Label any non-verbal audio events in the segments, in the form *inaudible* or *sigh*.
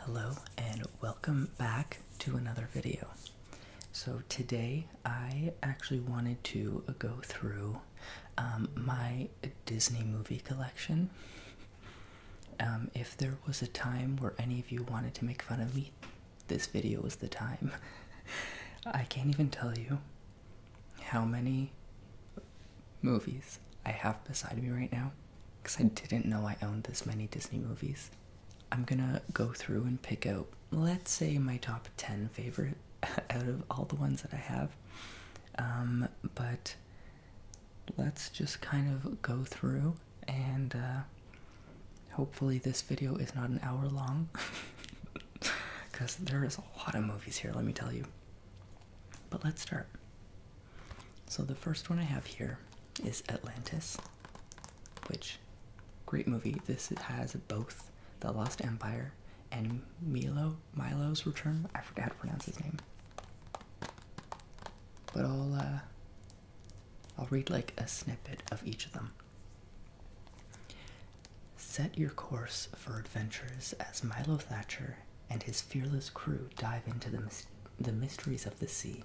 Hello and welcome back to another video. So today I actually wanted to go through um, my Disney movie collection. Um, if there was a time where any of you wanted to make fun of me, this video was the time. *laughs* I can't even tell you how many movies I have beside me right now because I didn't know I owned this many Disney movies. I'm gonna go through and pick out, let's say, my top 10 favorite *laughs* out of all the ones that I have. Um, but let's just kind of go through and uh, hopefully, this video is not an hour long because *laughs* there is a lot of movies here, let me tell you. But let's start. So the first one I have here is Atlantis, which great movie. This has both The Lost Empire and Milo Milo's Return. I forgot how to pronounce his name. But I'll uh I'll read like a snippet of each of them. Set your course for adventures as Milo Thatcher and his fearless crew dive into the, mysteries of the sea.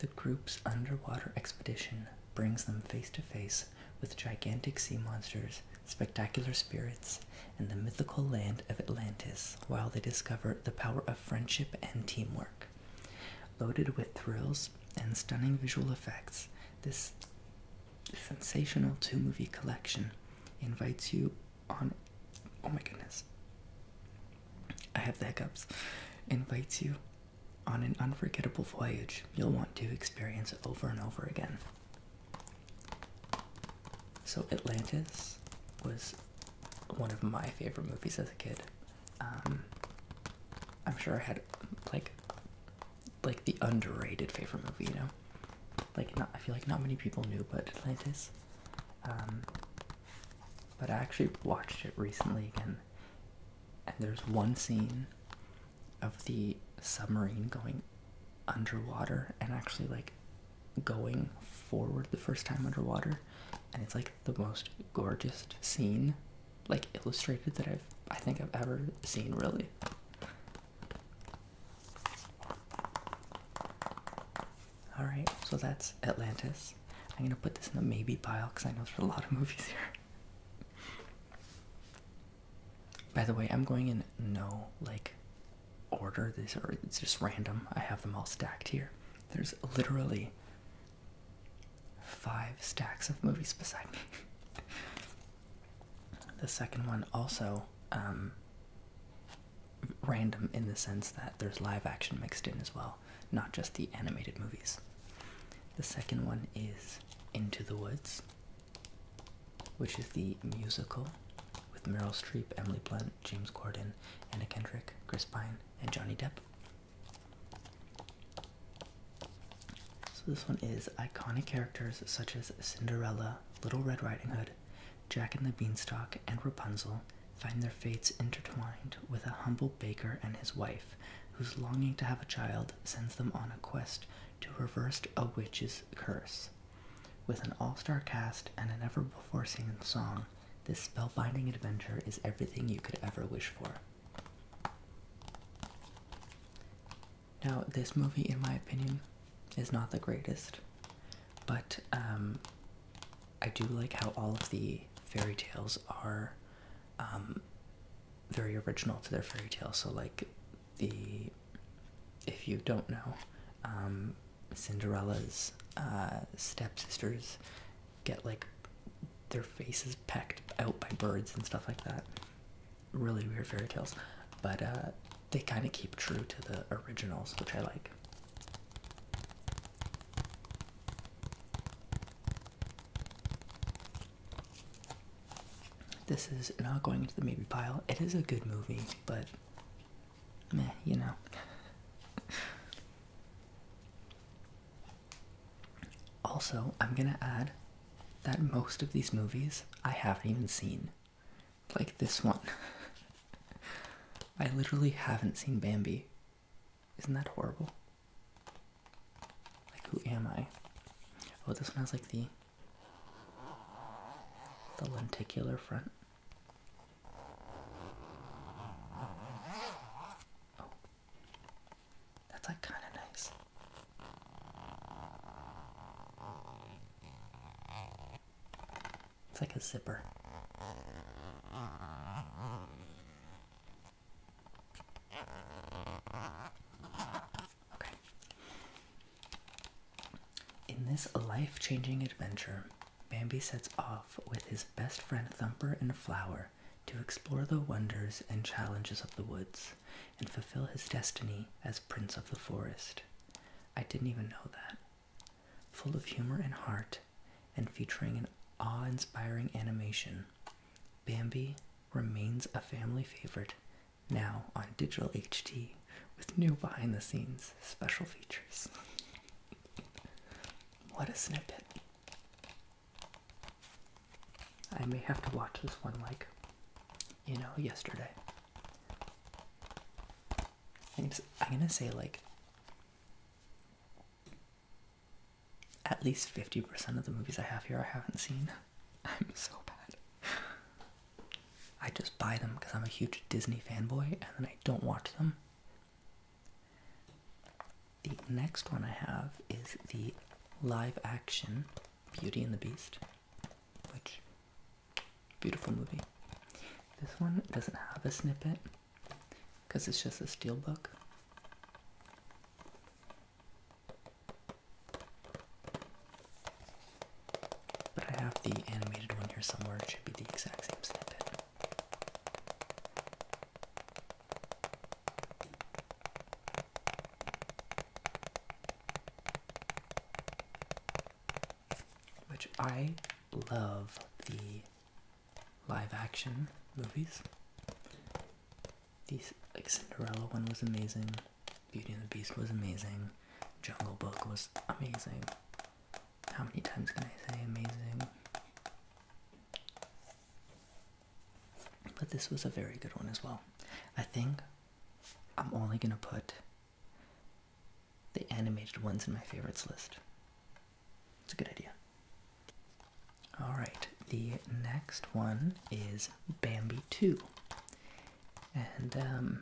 The group's underwater expedition brings them face to face with gigantic sea monsters, spectacular spirits, and the mythical land of Atlantis while they discover the power of friendship and teamwork. Loaded with thrills and stunning visual effects, this sensational two movie collection invites you on oh my goodness i have the hiccups invites you on an unforgettable voyage you'll want to experience over and over again so atlantis was one of my favorite movies as a kid um, i'm sure i had like like the underrated favorite movie you know like not i feel like not many people knew but atlantis um, but I actually watched it recently again, and there's one scene of the submarine going underwater and actually like going forward the first time underwater, and it's like the most gorgeous scene, like illustrated that I've I think I've ever seen really. All right, so that's Atlantis. I'm gonna put this in the maybe pile because I know there's a lot of movies here. By the way, I'm going in no like order. This or it's just random. I have them all stacked here. There's literally five stacks of movies beside me. *laughs* the second one also um, random in the sense that there's live action mixed in as well, not just the animated movies. The second one is Into the Woods, which is the musical with Meryl Streep, Emily Blunt, James Corden, Anna Kendrick, Chris Pine, and Johnny Depp. So this one is iconic characters such as Cinderella, Little Red Riding Hood, Jack and the Beanstalk and Rapunzel find their fates intertwined with a humble baker and his wife, whose longing to have a child sends them on a quest to reverse a witch's curse. With an all star cast and an ever before seen song, this spellbinding adventure is everything you could ever wish for. Now, this movie, in my opinion, is not the greatest. But um, I do like how all of the fairy tales are um, very original to their fairy tale. So, like the if you don't know, um, Cinderella's uh, stepsisters get like their faces pecked out by birds and stuff like that. Really weird fairy tales, but uh, they kind of keep true to the originals, which I like. This is not going to the maybe pile. It is a good movie, but meh, you know. *laughs* also, I'm gonna add that most of these movies I haven't even seen like this one. *laughs* I literally haven't seen Bambi. Isn't that horrible? Like, who am I? Oh, this one has like the the lenticular front. Oh, that's like kind of nice. It's like a zipper. Okay. In this life changing adventure, Bambi sets off with his best friend Thumper and Flower to explore the wonders and challenges of the woods and fulfill his destiny as Prince of the Forest. I didn't even know that. Full of humor and heart, and featuring an awe inspiring animation, Bambi remains a family favorite now on digital HD with new behind the scenes special features. *laughs* what a snippet! I may have to watch this one like, you know, yesterday. I'm, gonna say like at least 50% of the movies I have here I haven't seen. *laughs* I'm so bad. I just buy them because I'm a huge Disney fanboy and then I don't watch them. The next one I have is the live action Beauty and the Beast, which Beautiful movie. This one doesn't have a snippet because it's just a steelbook. But I have the animated one here somewhere. It should be the exact same snippet which I love the live action movies. These like Cinderella one was amazing, Beauty and the Beast was amazing, Jungle Book was amazing. How many times can I say amazing? But this was a very good one as well. I think I'm only gonna put the animated ones in my favorites list. It's a good idea. All right, the next one is Bambi 2. And um,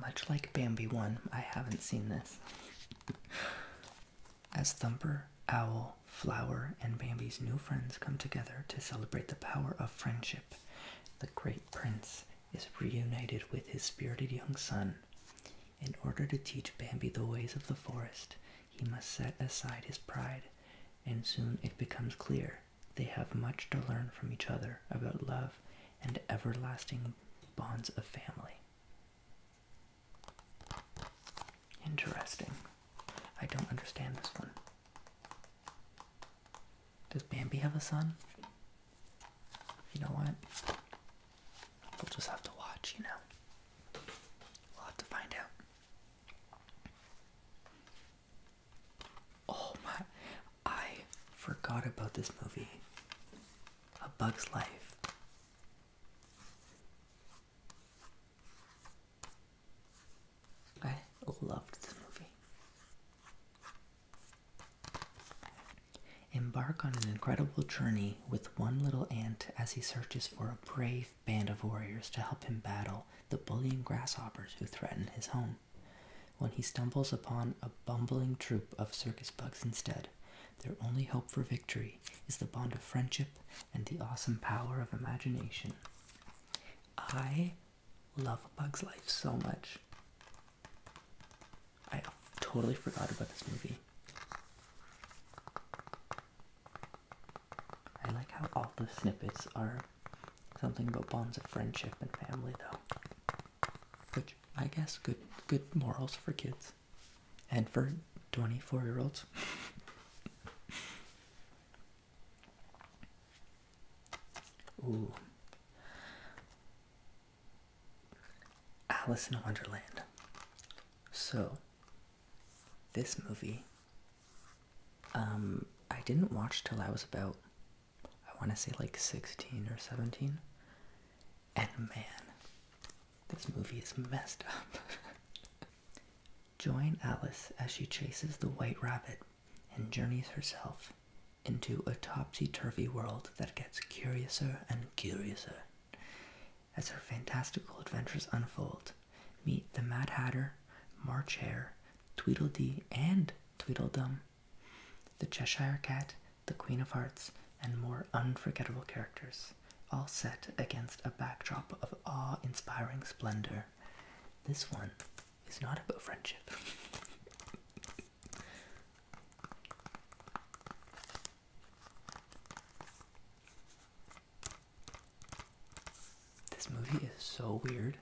much like Bambi 1, I haven't seen this. As Thumper, Owl, Flower, and Bambi's new friends come together to celebrate the power of friendship, the great prince is reunited with his spirited young son. In order to teach Bambi the ways of the forest, he must set aside his pride, and soon it becomes clear they have much to learn from each other about love and everlasting bonds of family. Interesting. I don't understand this one. Does Bambi have a son? You know what? We'll just have to watch, you know. We'll have to find out. Oh my, I forgot about this movie. A Bug's Life. I loved this movie. Embark on an incredible journey with one little ant as he searches for a brave band of warriors to help him battle the bullying grasshoppers who threaten his home. When he stumbles upon a bumbling troop of circus bugs instead, their only hope for victory is the bond of friendship and the awesome power of imagination. I love Bugs Life so much. I totally forgot about this movie. I like how all the snippets are something about bonds of friendship and family, though. Good, I guess good good morals for kids, and for twenty four year olds. *laughs* Ooh, Alice in Wonderland. So, this movie, um, I didn't watch till I was about, I want to say like 16 or 17. And man, this movie is messed up. *laughs* Join Alice as she chases the White Rabbit and journeys herself into a topsy-turvy world that gets curiouser and curiouser. As her fantastical adventures unfold, meet the Mad Hatter, March Hare, Tweedledee, and Tweedledum, the Cheshire Cat, the Queen of Hearts, and more unforgettable characters, all set against a backdrop of awe-inspiring splendor. This one it's not about friendship. this movie is so weird,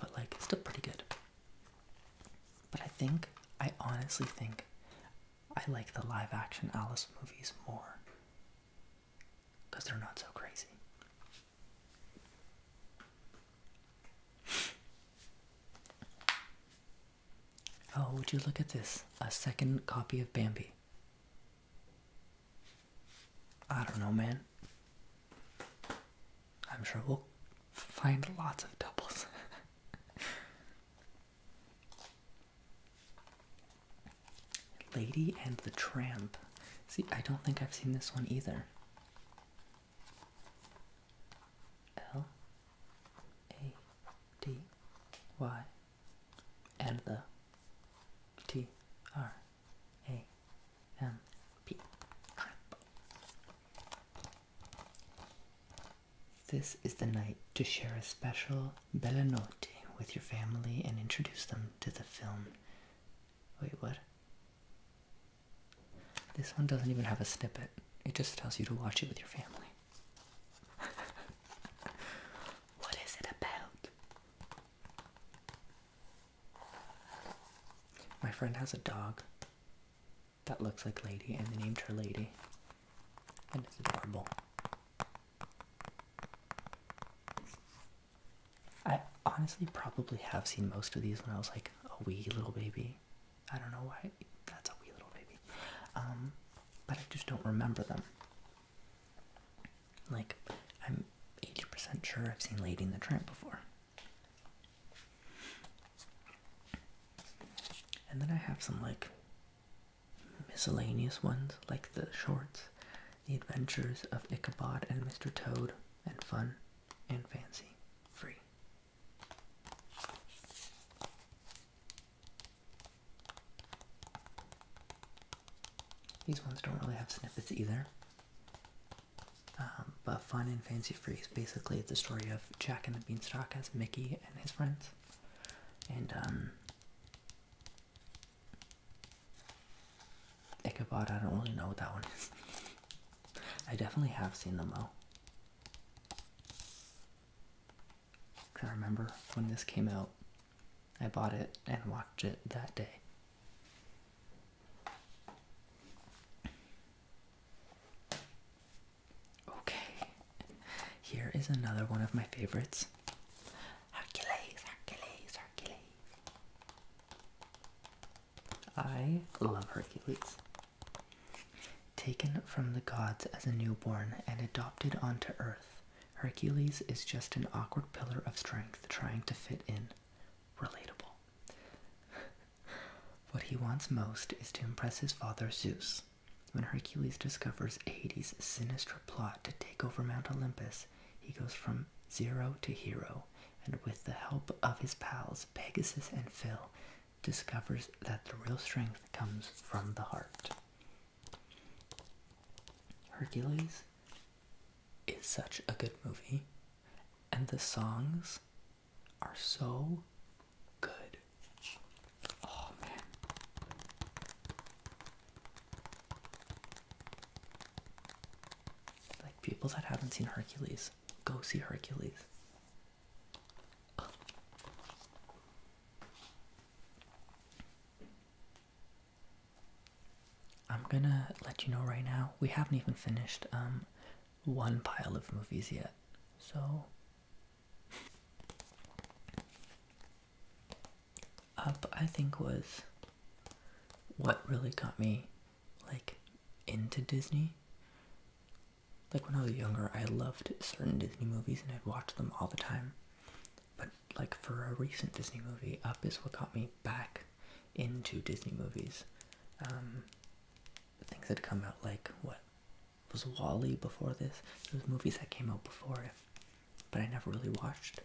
but like still pretty good. But I think, I honestly think, I like the live action Alice movies more because they're not so crazy. Oh, would you look at this? A second copy of Bambi. I don't know, man. I'm sure we'll find lots of doubles. *laughs* Lady and the Tramp. See, I don't think I've seen this one either. L A D Y and the T R A M P This is the night to share a special bella notte with your family and introduce them to the film. Wait, what? This one doesn't even have a snippet. It just tells you to watch it with your family. *laughs* what is it about? My friend has a dog that looks like Lady, and they named her Lady. And it's adorable. I honestly probably have seen most of these when I was like a wee little baby. I don't know why that's a wee little baby. Um, but I just don't remember them. Like, I'm 80% sure I've seen Lady and the Tramp before. And then I have some like miscellaneous ones, like the shorts the Adventures of Ichabod and Mr. Toad, and Fun and Fancy Free. These ones don't really have snippets either. Um, but Fun and Fancy Free is basically the story of Jack and the Beanstalk as Mickey and his friends. And um, Ichabod, I don't really know what that one is. I definitely have seen them though. I remember when this came out, I bought it and watched it that day. Okay, here is another one of my favorites Hercules, Hercules. I love Hercules. Taken from the gods as a newborn and adopted onto Earth, Hercules is just an awkward pillar of strength trying to fit in. Relatable. *laughs* what he wants most is to impress his father Zeus. When Hercules discovers Hades' sinister plot to take over Mount Olympus, he goes from zero to hero and with the help of his pals Pegasus and Phil, discovers that the real strength comes from the heart. Hercules is such a good movie, and the songs are so good. Oh man. Like people that haven't seen Hercules, go see Hercules. I'm gonna let you know right now, we haven't even finished um one pile of movies yet. So up I think was what really got me like into Disney. Like when I was younger, I loved certain Disney movies and I'd watch them all the time. But like for a recent Disney movie, Up is what got me back into Disney movies. Um, things had come out like what was Wally before this? Those movies that came out before it, but I never really watched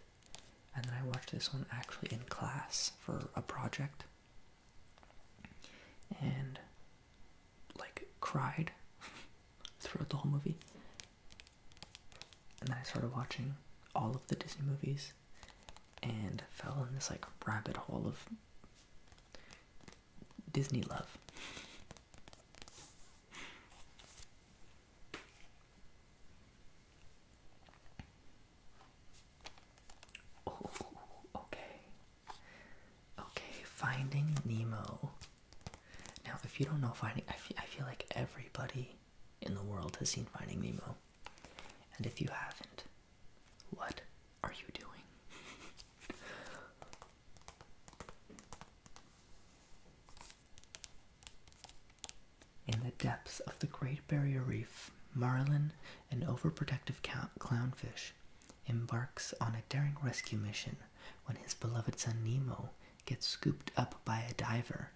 and then I watched this one actually in class for a project and like cried *laughs* throughout the whole movie. And then I started watching all of the Disney movies and fell in this like rabbit hole of Disney love. Oh, okay. Okay, Finding Nemo. Now, if you don't know Finding, I feel, I feel like everybody in the world has seen Finding Nemo. And if you haven't, what are you doing? *laughs* In the depths of the Great Barrier Reef, Marlin, an overprotective clownfish, embarks on a daring rescue mission when his beloved son Nemo gets scooped up by a diver.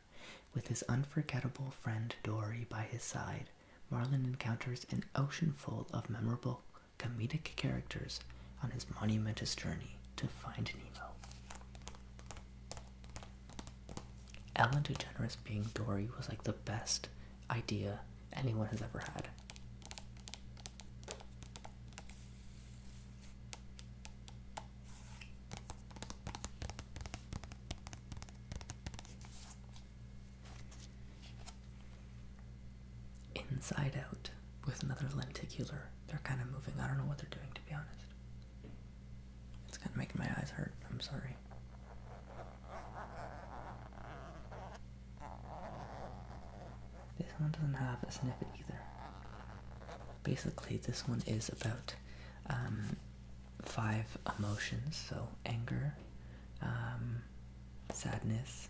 With his unforgettable friend Dory by his side, Marlin encounters an ocean full of memorable comedic characters on his monumentous journey to find Nemo. Ellen DeGeneres being Dory was like the best idea anyone has ever had. Inside out with another lenticular. They're kind of moving. I don't know what they're doing to be honest. It's kind of making my eyes hurt. I'm sorry. This one doesn't have a snippet either. Basically, this one is about um, five emotions so anger, um, sadness,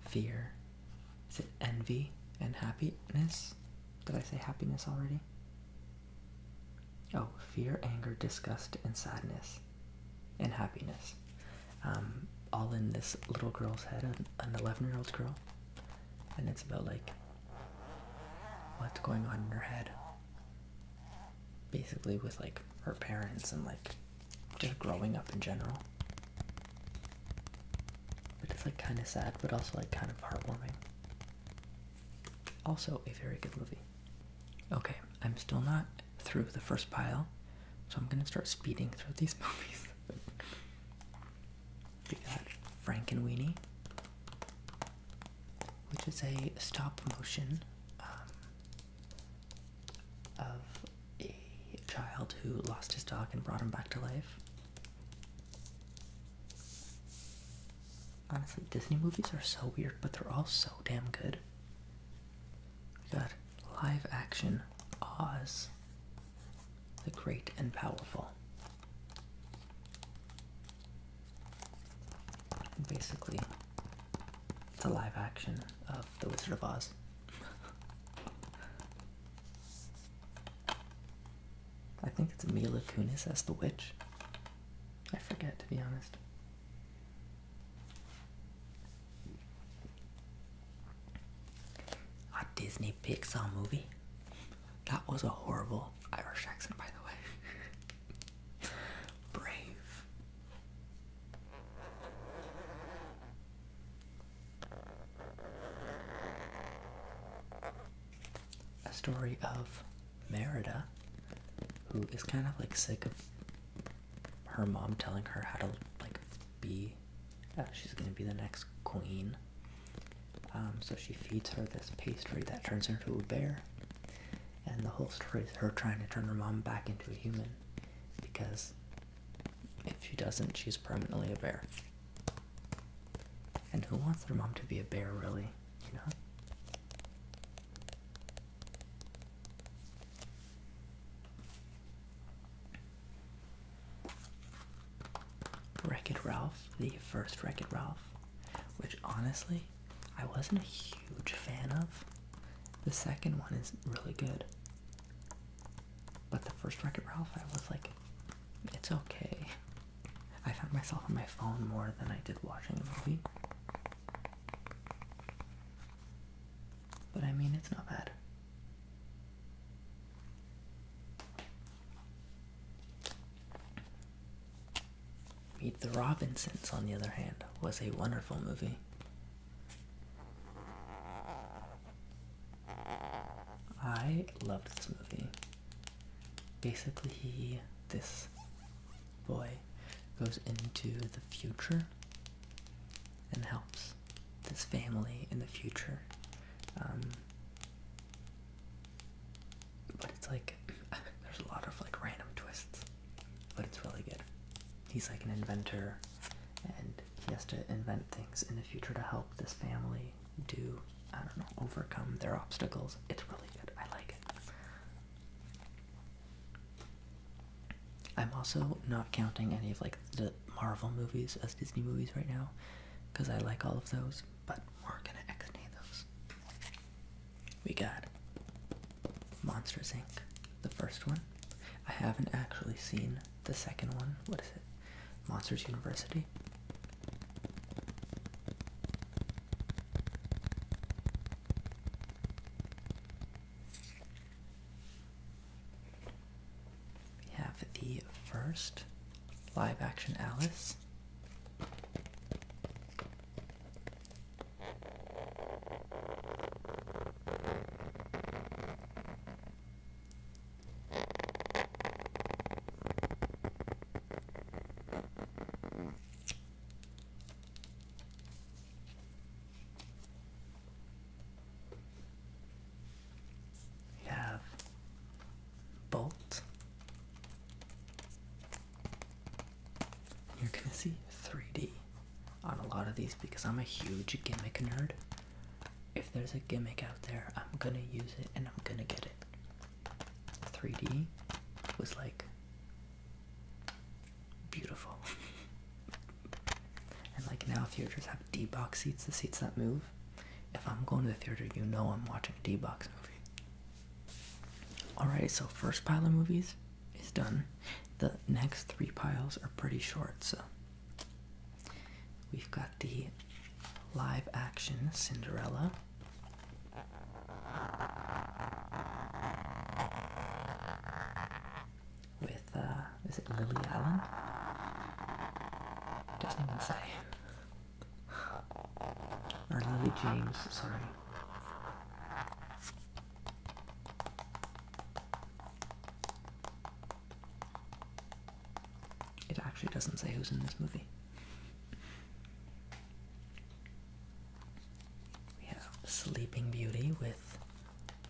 fear, is it envy, and happiness. Did I say happiness already? Oh, fear, anger, disgust, and sadness, and happiness. Um, all in this little girl's head, an, 11 year old girl. And it's about like what's going on in her head. Basically, with like her parents and like just growing up in general. But it's like kind of sad, but also like kind of heartwarming. Also, a very good movie. Okay, I'm still not through the first pile, so I'm gonna start speeding through these *laughs* movies. we got Frank and Weenie, which is a stop motion um, of a child who lost his dog and brought him back to life. Honestly, Disney movies are so weird, but they're all so damn good. We got live action Oz, the Great and Powerful. Basically, it's a live action of The Wizard of Oz. *laughs* I think it's Mila Kunis as the witch. I forget, to be honest. A Disney Pixar movie? That was a horrible Irish accent, by the way. *laughs* Brave a story of Merida, who is kind of like sick of her mom telling her how to like be. Uh, she's gonna be the next queen. Um, so she feeds her this pastry that turns her into a bear, and the whole story is her trying to turn her mom back into a human, because if she doesn't, she's permanently a bear. And who wants their mom to be a bear, really? You know? Wreck It Ralph, the first Wreck It Ralph, which honestly I wasn't a huge fan of. The second one is really good. But the first Wreck It Ralph, I was like, it's okay. I found myself on my phone more than I did watching the movie. But I mean, it's not bad. Meet the Robinsons, on the other hand, was a wonderful movie. I loved this movie. Basically, he, this boy, goes into the future and helps this family in the future. Um, but it's like, *laughs* there's a lot of like random twists, but it's really good. He's like an inventor and he has to invent things in the future to help this family do, I don't know, overcome their obstacles. It's really good. I like it. I'm also not counting any of like the Marvel movies as Disney movies right now because I like all of those, but we're gonna extend those. We got Monsters Inc., the first one. I haven't actually seen the second one. What is it? Monsters University. We have the first live action Alice. We have Bolt. You're gonna see 3D on a lot of these because I'm a huge gimmick nerd. If there's a gimmick out there, I'm gonna use it and I'm gonna get it. 3D was like beautiful. *laughs* and like now theaters have D box seats, the seats that move. If I'm going to the theater, you know I'm watching a D box movie. Alright, so first pile of movies is done. The next three piles are pretty short, so we've got the live action Cinderella. With, uh, is it Lily Allen? Doesn't even say. Or Lily James, sorry. It actually doesn't say who's in this movie. We have Sleeping Beauty with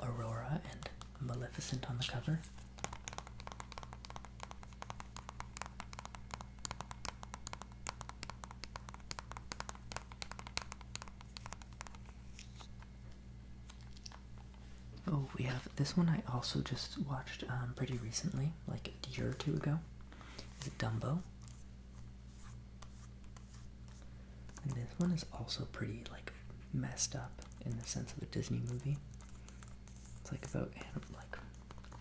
Aurora and Maleficent on the cover. Oh, we have this one I also just watched um, pretty recently, like a year or two ago. Is Dumbo. And this one is also pretty like messed up in the sense of a Disney movie. It's like about like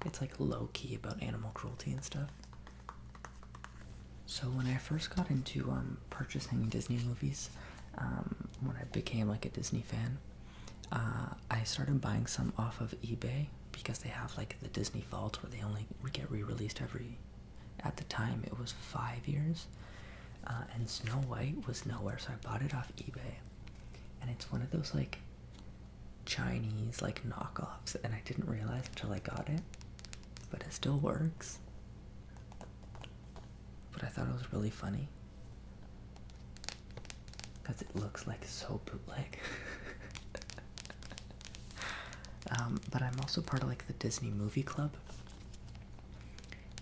it's like low key about animal cruelty and stuff. So when I first got into um, purchasing Disney movies, um, when I became like a Disney fan, uh, I started buying some off of eBay because they have like the Disney Vault where they only get re-released every. At the time, it was five years, uh, and Snow White was nowhere, so I bought it off eBay, and it's one of those like Chinese like knockoffs, and I didn't realize until I got it, but it still works. But I thought it was really funny because it looks like so bootleg. *laughs* um, but I'm also part of like the Disney Movie Club,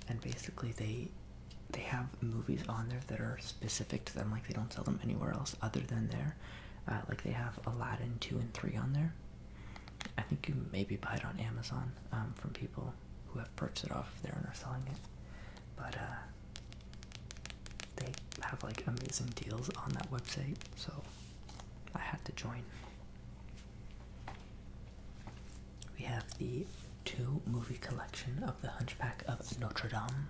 and basically they they have movies on there that are specific to them. Like they don't sell them anywhere else other than there. Uh, like they have Aladdin two and three on there. I think you maybe buy it on Amazon um, from people who have purchased it off of there and are selling it. But uh, they have like amazing deals on that website, so I had to join. We have the two movie collection of The Hunchback of Notre Dame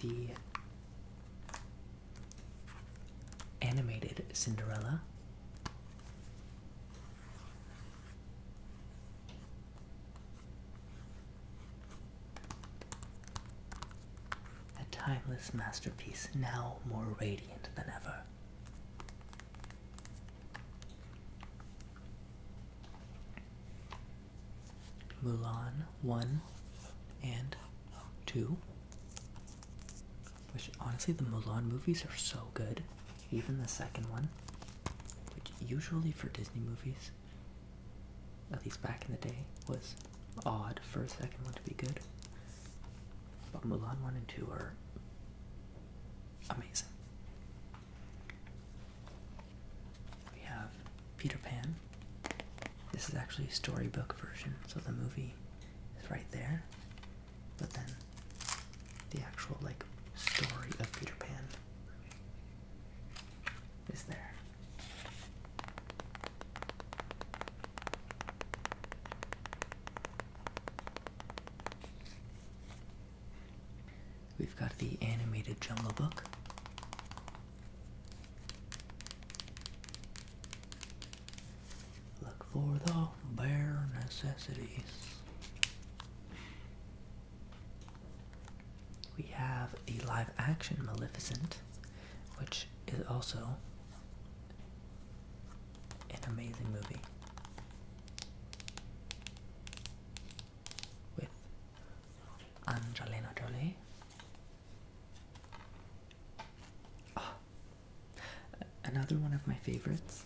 the animated Cinderella. A timeless masterpiece, now more radiant than ever. Mulan 1 and 2. Which honestly, the Mulan movies are so good. Even the second one. Which usually for Disney movies, at least back in the day, was odd for a second one to be good. But Mulan 1 and 2 are amazing. We have Peter Pan. This is actually a storybook version, so the movie is right there, but then the actual like story of Peter Pan is there. We've got the animated Jungle Book. Look for the bare necessities. We have the live action Maleficent, which is also an amazing movie. With Angelina Jolie Oh. another one of my favorites,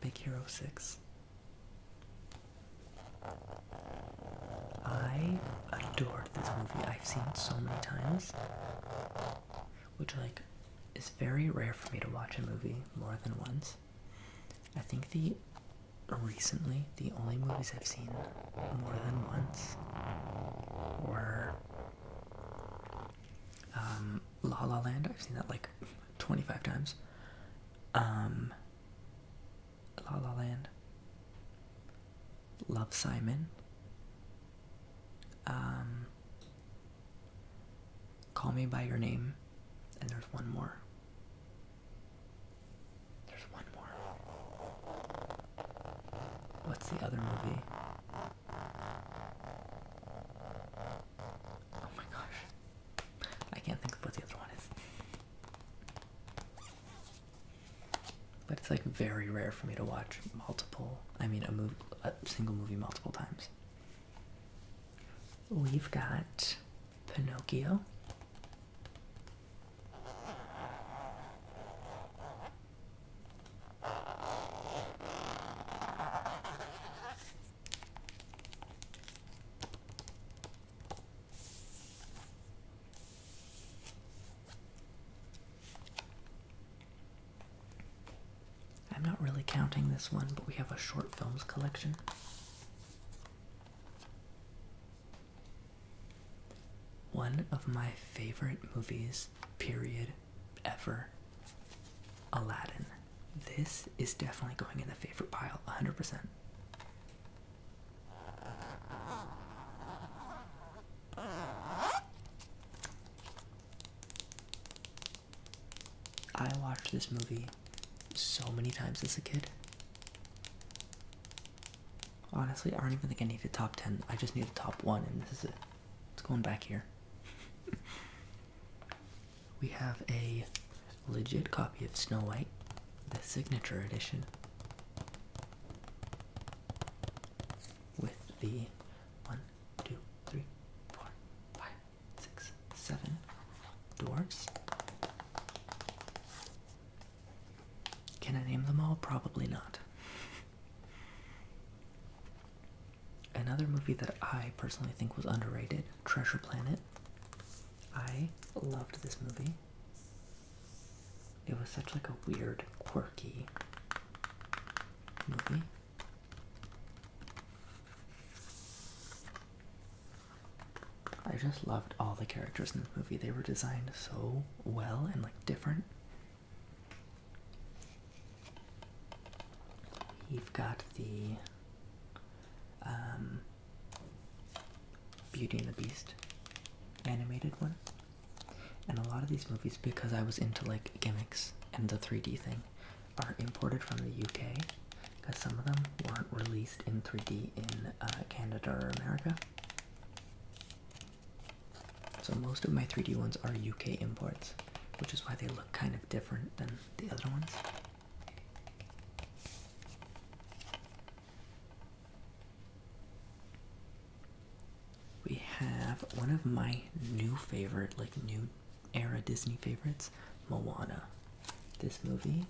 Big Hero 6. I adore this movie. I've seen it so many times, which like is very rare for me to watch a movie more than once. I think the recently, the only movies I've seen more than once were um, La La Land. I've seen that like 25 times. Um, La La Land. Love Simon. Um, Call Me By Your Name. And there's one more. There's one more. What's the other movie? Oh my gosh. I can't think of what the other one is. But it's like very rare for me to watch multiple, I mean a, move, a single movie multiple times. We've got Pinocchio. I'm not really counting this one, but we have a short films collection. One of my favorite movies, period, ever Aladdin. This is definitely going in the favorite pile, 100%. I watched this movie so many times as a kid. Honestly, I don't even think I need the top 10. I just need the top 1, and this is it. It's going back here. *laughs* we have a legit copy of Snow White, the signature edition, with the one, two, three, four, five, six, seven dwarfs. Can I name them all? Probably not. Another movie that I personally think was underrated, Treasure Planet. I loved this movie. It was such like a weird, quirky movie. I just loved all the characters in the movie. They were designed so well and like different. You've got the um, Beauty and the Beast animated one. And a lot of these movies, because I was into like gimmicks and the 3D thing, are imported from the UK because some of them weren't released in 3D in uh, Canada or America. So most of my 3D ones are UK imports, which is why they look kind of different than the other ones. We have one of my new favorite, like new era Disney favorites, Moana. This movie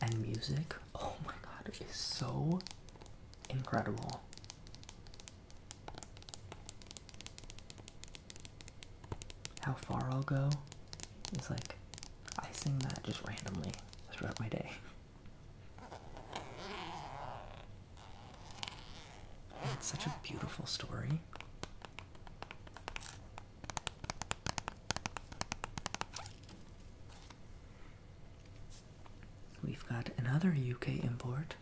and music, oh my god, is so incredible. How far I'll go is like, I sing that just randomly throughout my day. It's such a beautiful story. We've got another UK import,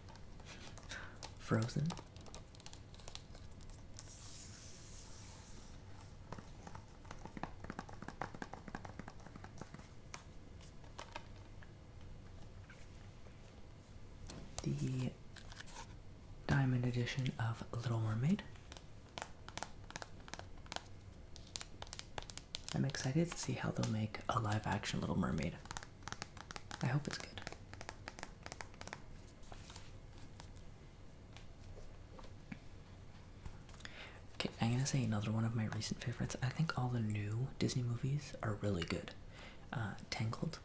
Frozen. The Diamond Edition of Little Mermaid. I'm excited to see how they'll make a live action Little Mermaid. I hope it's good. Okay, I'm gonna say another one of my recent favorites. I think all the new Disney movies are really good. Uh, Tangled,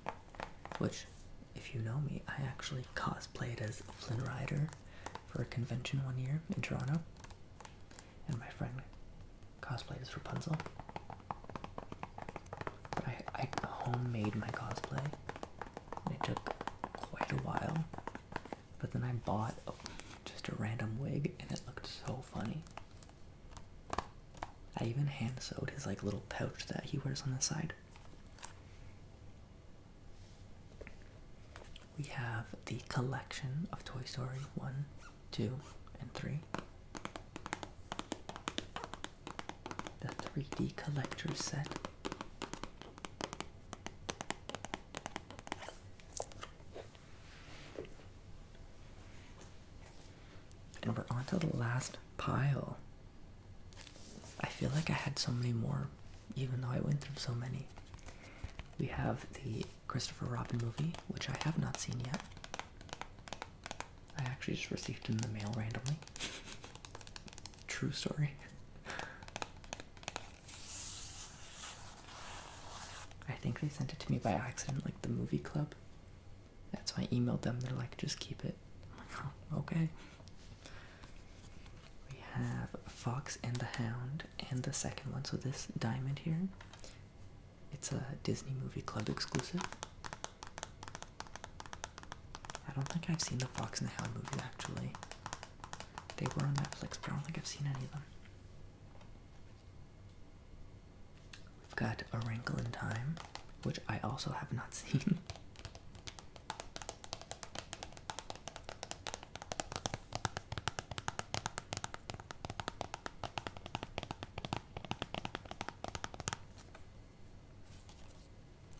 which, if you know me, I actually cosplayed as Flynn Rider for a convention one year in Toronto, and my friend cosplayed as Rapunzel. I, I homemade my cosplay, and it took quite a while. But then I bought just a random wig, and it looked so funny. I even hand sewed his like little pouch that he wears on the side. We have the collection of Toy Story 1, 2, and 3. The 3D collector set. And we're on to the last pile. I feel like I had so many more even though I went through so many. We have the Christopher Robin movie, which I have not seen yet. I actually just received in the mail randomly. *laughs* True story. *laughs* I think they sent it to me by accident, like the movie club. That's why I emailed them. They're like, just keep it. Oh, okay. We have Fox and the Hound and the second one. So this diamond here, it's a Disney Movie Club exclusive. I don't think I've seen the Fox and the Hound movies actually. They were on Netflix, but I don't think I've seen any of them. We've got A Wrinkle in Time, which I also have not *laughs* seen.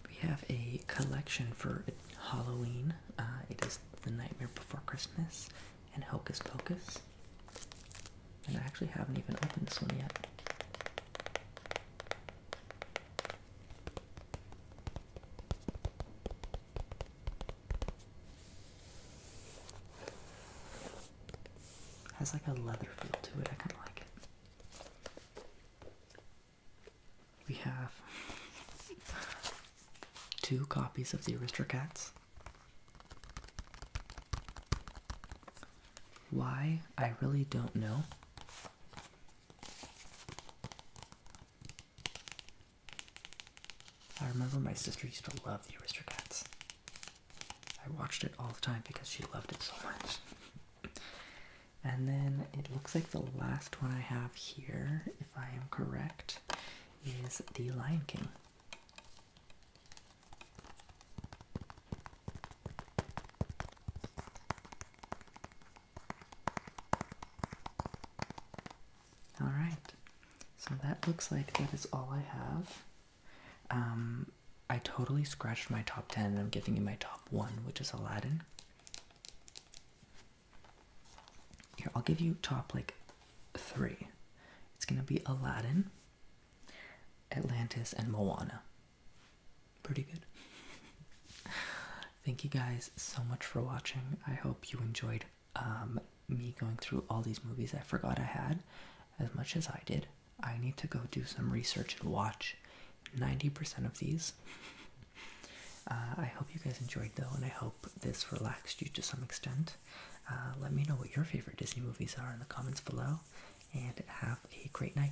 We have a collection for Halloween. Uh, it is The Nightmare Before Christmas and Hocus Pocus. And I actually haven't even opened this one yet. Has like a leather feel to it. I kind of like it. We have two copies of the Aristocats. Why? I really don't know. I remember my sister used to love the Aristocats. I watched it all the time because she loved it so much. And then it looks like the last one I have here, if I am correct, is The Lion King. All right, so that looks like that is all I have. Um, I totally scratched my top 10 I'm giving you my top one, which is Aladdin. Here, I'll give you top like three. It's gonna be Aladdin, Atlantis, and Moana. Pretty good. *laughs* Thank you guys so much for watching. I hope you enjoyed um, me going through all these movies I forgot I had as much as I did. I need to go do some research and watch 90% of these. *laughs* Uh, I hope you guys enjoyed though, and I hope this relaxed you to some extent. Uh, let me know what your favorite Disney movies are in the comments below, and have a great night.